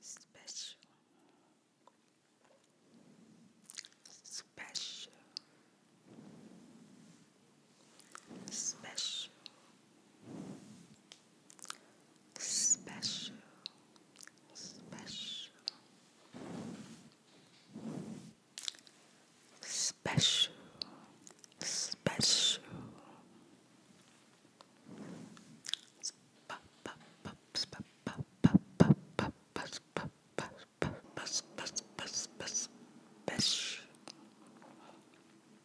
Special, special, special, special, special, special, special. Special,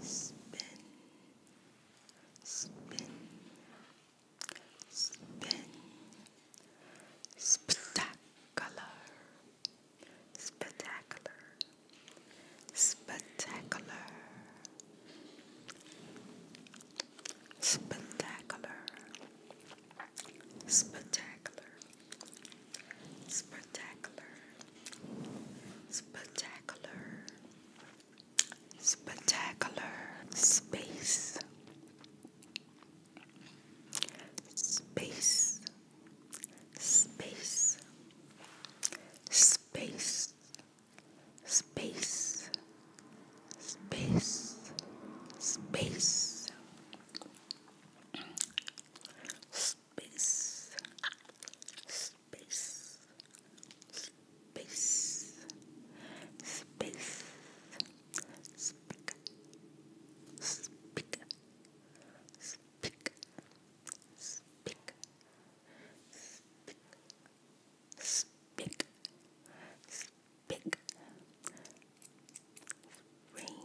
spin, spin, spin, spectacular, spectacular, spectacular, spectacular, spectacular, spectacular. Spectacular, spectacular space, space, space, space, space, space, space. space, space, space, space, speak, speak, speak, speak, speak, speak, speak, ring. Ring, ring,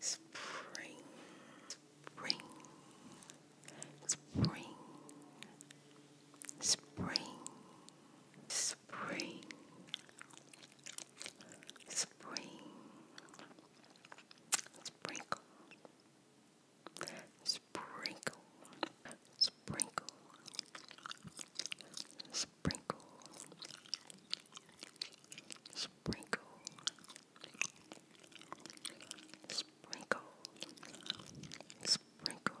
Spring, spring, spring, spring, spring, sprinkle, sprinkle, sprinkle, sprinkle. Sprinkle, sprinkle, sprinkle, sprinkle, sprinkle,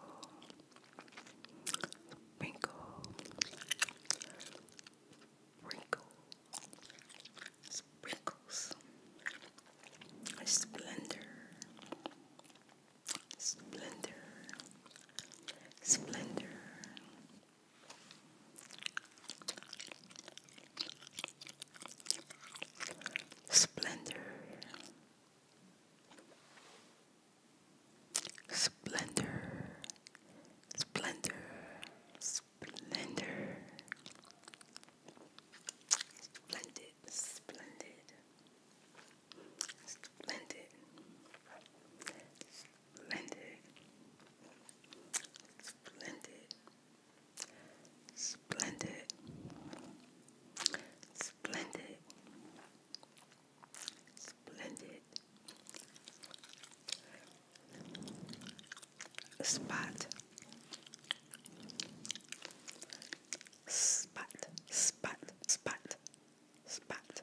sprinkle, sprinkles, splendor, splendor, splendor. Splendor, splendor, splendor, splendor, splendid, splendid, splendid, Splendid. Splendid. Splendid. Splendid. Splendid. Spot. Spot. Spot. Spot. Spot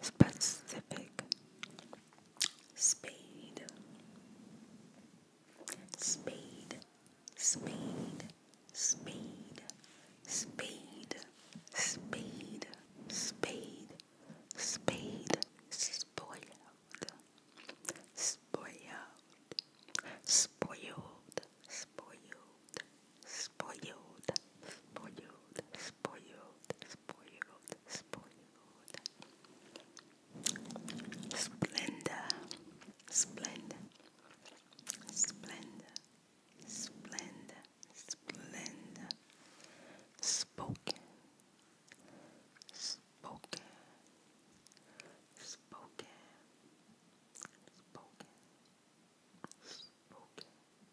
specific speed speed speed speed speed speed speed speed spoiled spoiled spoiled spoiled spoiled spoiled, spoiled, spoiled, spoiled, spoiled. Splendor, splendor, splendor, splendor, splendor. Spoken, spoken, spoken. Spoken, spoken,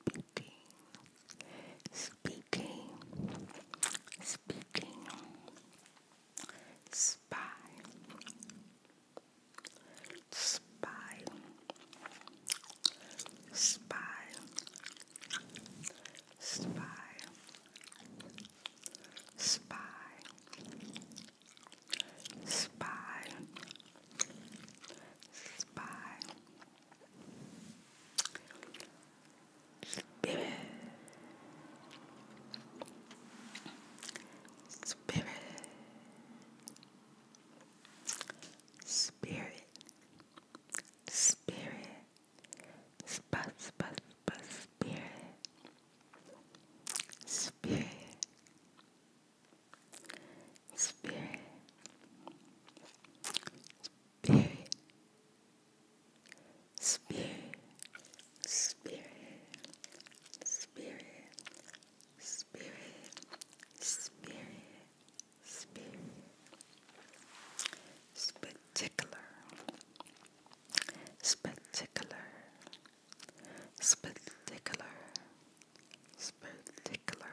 speaking, speaking, speaking, spy, spy, spy, spy, spy. Spy, Spirit. Spirit. Spirit. Spirit. spirit. Spirit. Spirit, Spirit, Spirit, Spirit, Spirit, Spirit, Spirit, Spectacular, Spectacular, Spectacular. Spectacular.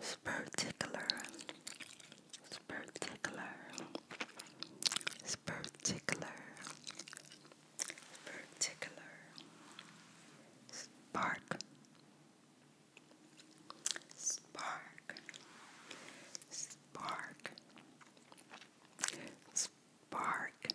Spectacular. Spectacular. Spectacular. Spectacular. Spark. Spark. Spark. Spark.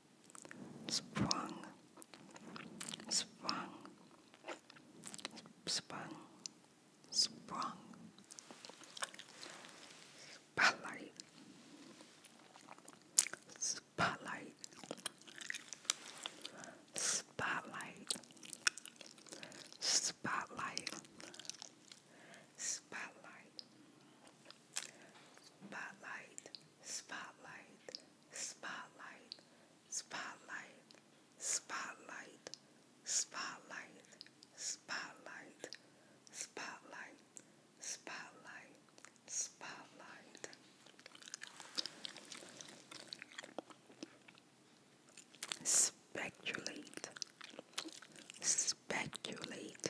sprung, sprung, spotlight, spotlight, spotlight, spotlight, spotlight. Spotlight, spotlight, spotlight, spotlight, spotlight, spotlight, spotlight, spotlight, spotlight, speculate, speculate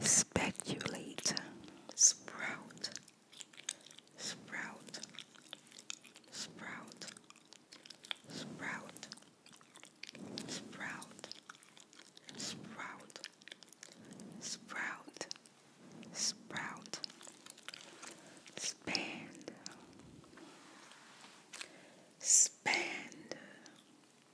speculate, sprout, sprout, sprout, sprout, sprout, sprout, sprout, sprout, spand, spand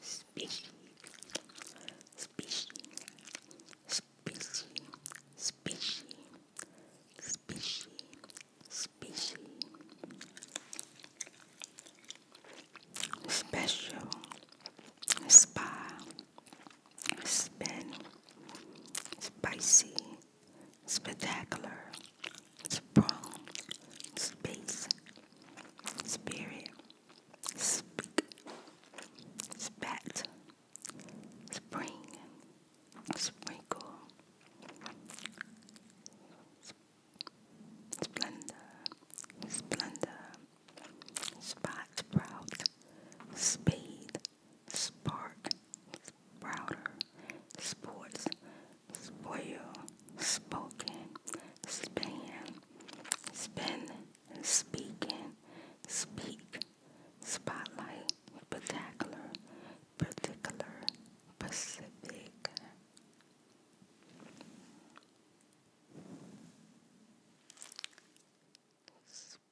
Species, species, species, species, species, species. Special, spa, spin, spicy, spectacular. Sprawl, space, spirit, speak, spat, spring, sprinkle, splendor, splendor, spot, sprout, spade, spark, sprouter, sports, spoil, spoken, span, spin, speaking, speak, spotlight, particular, particular, Pacific. Spirit.